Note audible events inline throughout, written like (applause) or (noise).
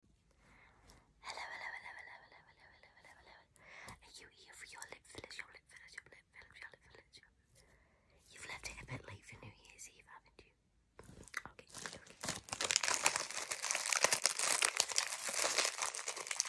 Hello, hello, hello, hello, hello, hello, hello, hello, hello. Are you here for your lip fillers, your lip fillers, your lip fillers, your lip fillers? Your... You've left it a bit late for New Year's Eve, haven't you? Okay, okay, okay. Okay, okay, okay, okay, okay.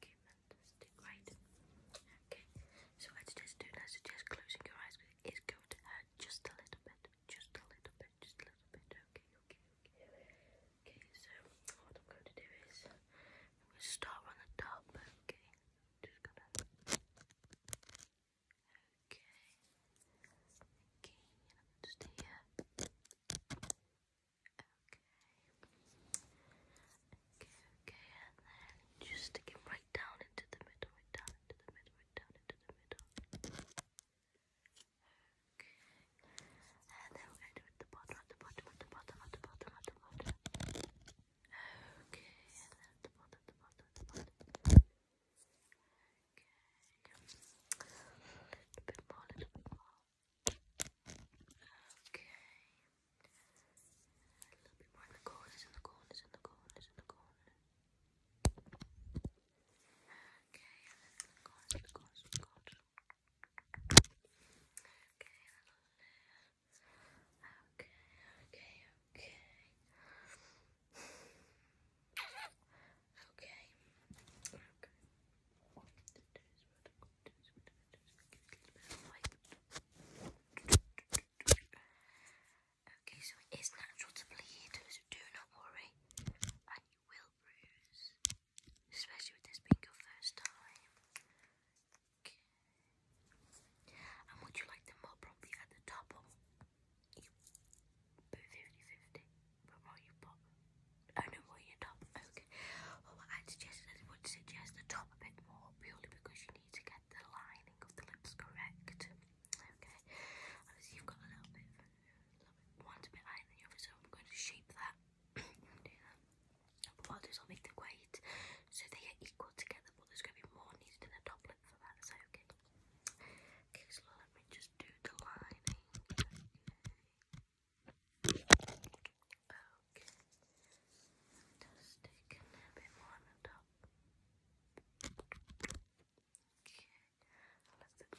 Okay, fantastic. Right. Okay. So let's just do let's closing your eyes it's going just a little bit. Just a little bit. Just a little bit. Okay, okay, okay. Okay, so what I'm going to do is I'm gonna start on the top, okay. Just gonna Okay. Okay, and I'm going here. Okay, okay, and then just stick it right down into the middle, right down into the middle, right down into the middle. Okay, and then we're going to do it the bottom, at the bottom, at the bottom, at the the bottom. Okay, and then the bottom, the bottom, the bottom. Okay, a little bit more. Okay. A little bit more in the corners, in in the corners, in in the corners, in in the corners. Okay, a little Okay, okay, okay. Okay. Okay. so it is natural to bleed, do not worry. And you will bruise. Especially with this being your first time. And would you like them more properly at the top or but 50-50. But what you I know what your top. Okay. I'd suggest is I would suggest the top a bit more, purely because you need to get the lining of the lips correct. Okay. Obviously, you've got a little bit, a little bit one's a bit higher than the other, so I'm going to shape that. (clears throat) But what i do is i make the weight so they are equal together, but there's going to be more needed in the top lip for that. Is that okay? Okay, so let me just do the lining. Okay. Okay. Fantastic. a bit more on top. Okay. A little bit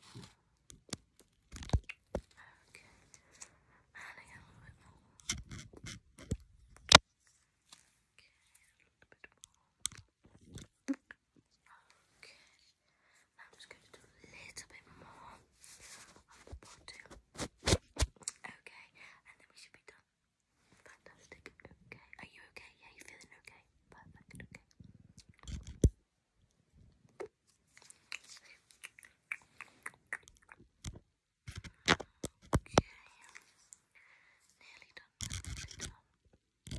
Okay. And a little bit more. Okay. A little bit more. Okay. I'm just going to do a little bit more on the bottom. Okay, and then we should be done. Fantastic. Okay. Are you okay? Yeah, you feeling okay? Perfect. Okay. Okay. Nearly done. Nearly done. Okay.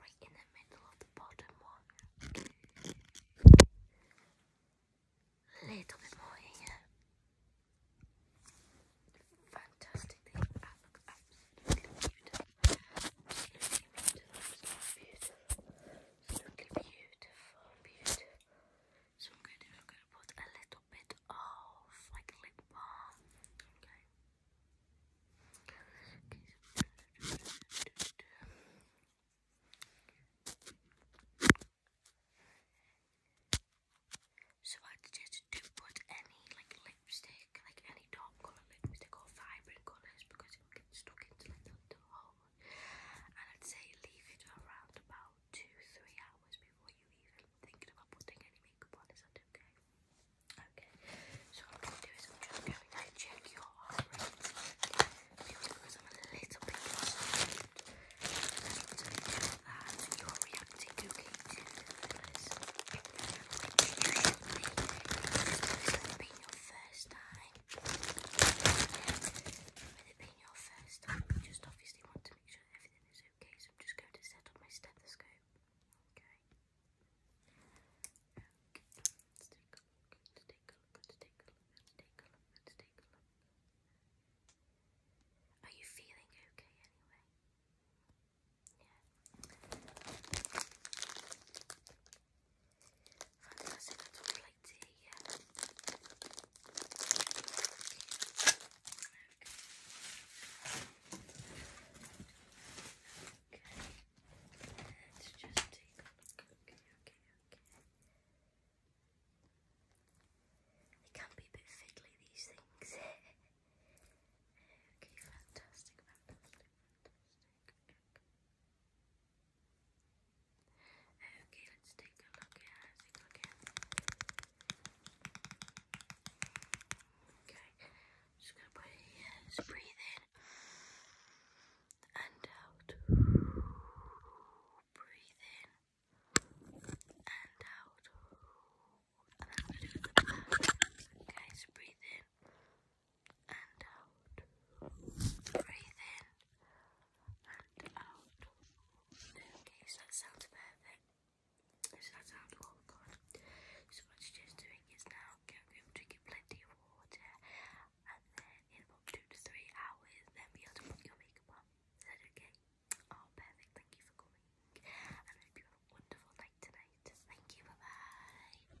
right in the middle of the bottom one. little bit more Fantastic Absolutely beautiful. Absolutely beautiful. Absolutely beautiful. Beautiful. So I'm going to put a little bit of like lip balm. so I just do put any like lipstick, like any dark colour lipstick or vibrant colours because it will get stuck into like the, the and I'd say leave it around about two, three hours before you even thinking about putting any makeup on. Is that okay? Okay. So what I'm going to do is I'm just going to check your heart because I'm a little bit concerned. I that you're reacting okay this. Usually, your first time with it being your first time, you just obviously want to make sure that everything is okay, so I'm just going to set up my stethoscope. Okay. Are you feeling okay anyway? Fantastic little plate here. Okay. okay. Let's just take a look. Okay, okay, okay. It can be a bit fiddly, these things. okay, fantastic, fantastic, fantastic. Okay. Okay, let's take a look at it again. Okay, just gonna put it breathe in and out. Breathe in and out. And breathe in and out. Breathe in and out. Okay, so that sounds perfect. So that sounds all oh good. So what she's doing is now going to get plenty of water and then in about two to three hours then be able to put your makeup on. that okay? Oh perfect, thank you for coming. And I hope you have a wonderful night tonight. Thank you, bye bye.